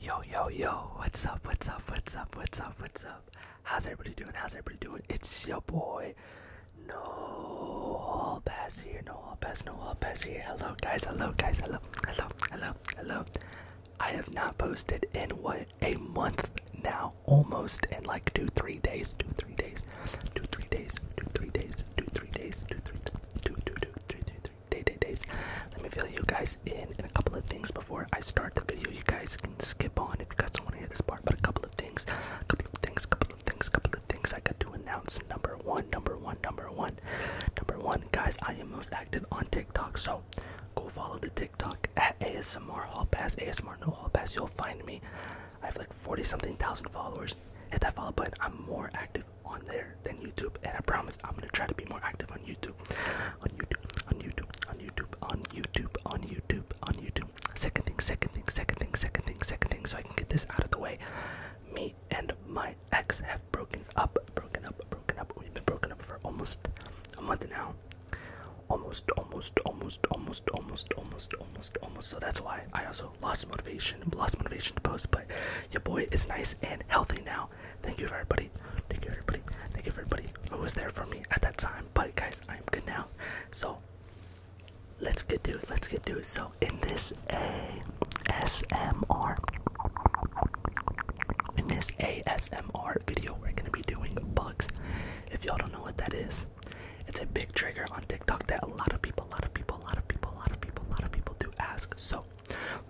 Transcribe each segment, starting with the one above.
Yo, yo, yo, what's up, what's up, what's up, what's up, what's up? How's everybody doing? How's everybody doing? It's your boy. No all pass here, no all pass, no all pass here. Hello guys, hello guys, hello, hello, hello, hello. I have not posted in what a month now, almost in like two, three days, two, three days, two, three days, two, three days, two, three days, two, three, two, three, two, two, two, three, three, three, day, day, days. Let me fill you guys in in a couple of things before I start the video. You guys can skip on if you guys don't want to hear this part, but a couple of things, a couple of things, a couple of things, a couple of things I got to announce. Number one, number one, number one, number one, guys. I am most active on TikTok, so go follow the TikTok at ASMR Hall Pass, ASMR No Hall Pass. You'll find me. I have like forty something thousand followers. Hit that follow button. I'm more active on there than YouTube, and I promise I'm gonna try to be more active on YouTube. On YouTube, on YouTube, on YouTube, on YouTube, on YouTube, on YouTube. Second thing, second thing, second thing, second thing, second thing, so I can get this out of the way. Me and my ex have broken up, broken up, broken up. We've been broken up for almost a month now. Almost, almost, almost, almost, almost, almost, almost, almost. So that's why I also lost motivation, lost motivation to post your boy is nice and healthy now. Thank you for everybody. Thank you everybody. Thank you for everybody who was there for me at that time. But guys, I am good now. So let's get to it. Let's get to it. So in this ASMR in this ASMR video, we're gonna be doing bugs. If y'all don't know what that is, it's a big trigger on TikTok that a lot of people, a lot of people, a lot of people, a lot of people, a lot of people do ask. So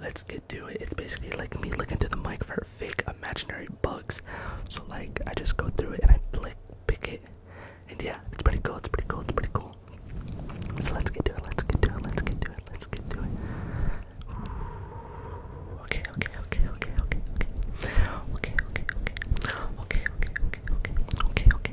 let's get to it. It's basically like me looking through the mic for fake imaginary bugs. So like I just go through it and I flick pick it. And yeah, it's pretty cool, it's pretty cool, it's pretty cool. So let's get to it, let's get to it, let's get to it, let's get to it. okay, okay. Okay, okay, okay. Okay, okay, okay, okay, okay, okay, okay,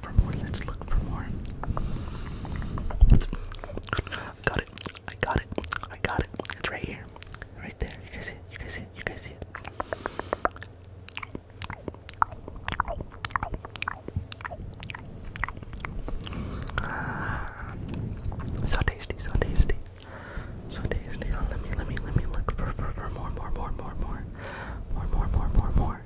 for more. Let's look for more. got it. I got it. I got it. It's right here. Right there. You guys see it? You guys see it? You guys see it? So tasty, so tasty. So tasty. Let me let me let me look for for, for more, more, more, more, more. More, more, more, more, more.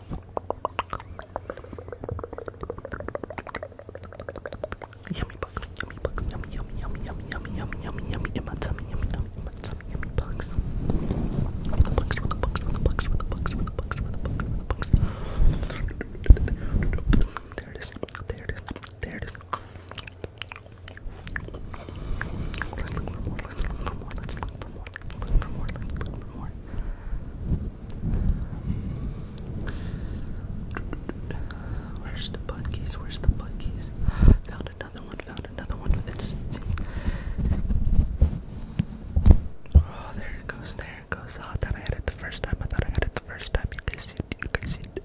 Yummy bugs, yummy bugs, yummy, yummy, yummy, yummy, yummy, yummy, yummy, yummy, in my tummy, yummy, yummy, yummy, yummy, yummy bugs. With the bugs, with the bugs, with the bugs, with the bugs, with the bugs, with the bugs, with the bugs. There it is, there it is, there it is. Let's look for more, let's look for more, let's look for more more, look for more, look for more. Where's the buggies? Where's the buggies? Found another one, found another one. It's Oh, there it goes, there it goes. Oh, I thought I had it the first time. I thought I had it the first time. You guys see it? You guys see it?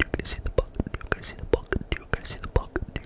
you guys see the bug? Do you guys see the bug? Do you guys see the bug?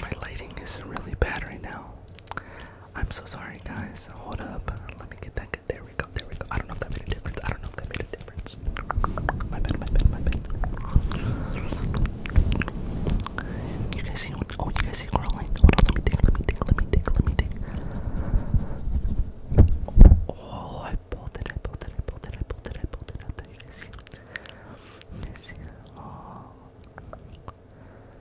my lighting is really bad right now. I'm so sorry, guys. Hold up. Let me get that. Good. There we go. There we go. I don't know if that made a difference. I don't know if that made a difference. My bed. My bed. My bed. You guys see? Oh, you guys see growling? Hold Let me dig. Let me dig. Let me dig. Let me dig. Oh, I bolted. I bolted. I bolted. I bolted. I bolted. Out there. You guys see? You see? Oh.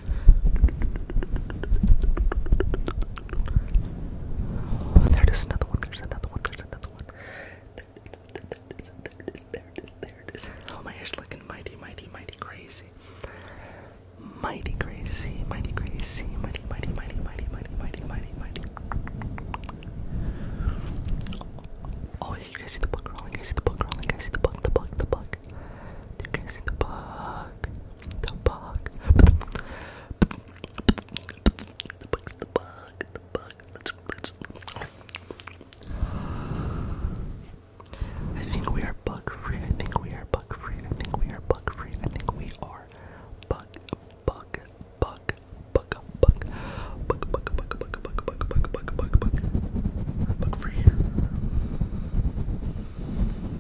Oh, there another one. There's another one. There's another one. Oh, my hair's looking mighty, mighty, mighty crazy. Mighty crazy, mighty crazy, mighty, mighty, mighty, mighty, mighty, mighty, mighty, Oh, you guys see the bug crawling? You guys see the bug crawling? You guys see the bug, the bug, the bug, bug? Did you guys see the bug? The bug. The bug's the bug. The bug. Let's let's. I think we are bug free. I think we are bug free. I think we are bug free. I think we are bug bug bug bug bug bug bug bug bug bug bug bug bug bug bug bug free.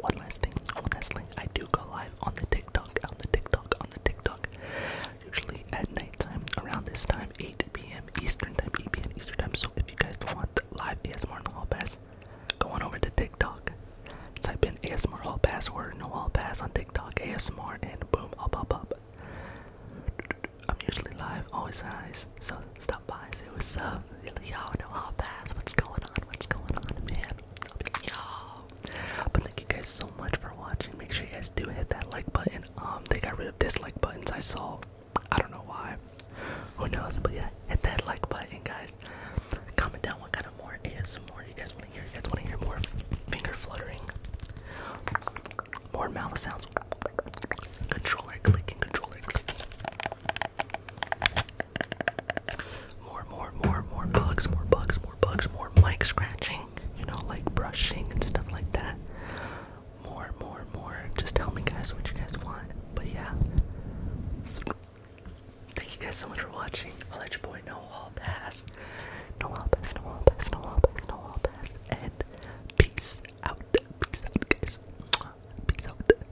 one last thing, one last thing. I do go live on the TikTok, on the TikTok, on the TikTok. Usually at nighttime, around this time, 8 p.m. Eastern time, 8 p.m. Eastern time. So if you guys want live ASMR in the pass, go on over to TikTok. Type in ASMR hall pass or no hall pass on TikTok ASMR, and boom, I'll pop up. I'm usually live, always nice. So stop by, see what's up y'all know how fast what's going on, what's going on, man. Y'all. But thank you guys so much for watching. Make sure you guys do hit that like button. Um, they got rid of dislike buttons. I saw. I don't know why. Who knows? But yeah, hit that like button, guys. Comment down what kind of more more. you guys want to hear. You guys want to hear more finger fluttering, more mouth sounds, controller clicking, controller clicking. More, more, more, more bugs, more bugs, more bugs, more mic scratching, you know, like brushing and stuff like that. More, more, more. Just tell me, guys, what you guys want. But yeah. Thank you guys so much for watching. I'll let you boy know all pass. No all pass, no all pass, no all pass, no all pass. And peace out. Peace out, guys. Peace out.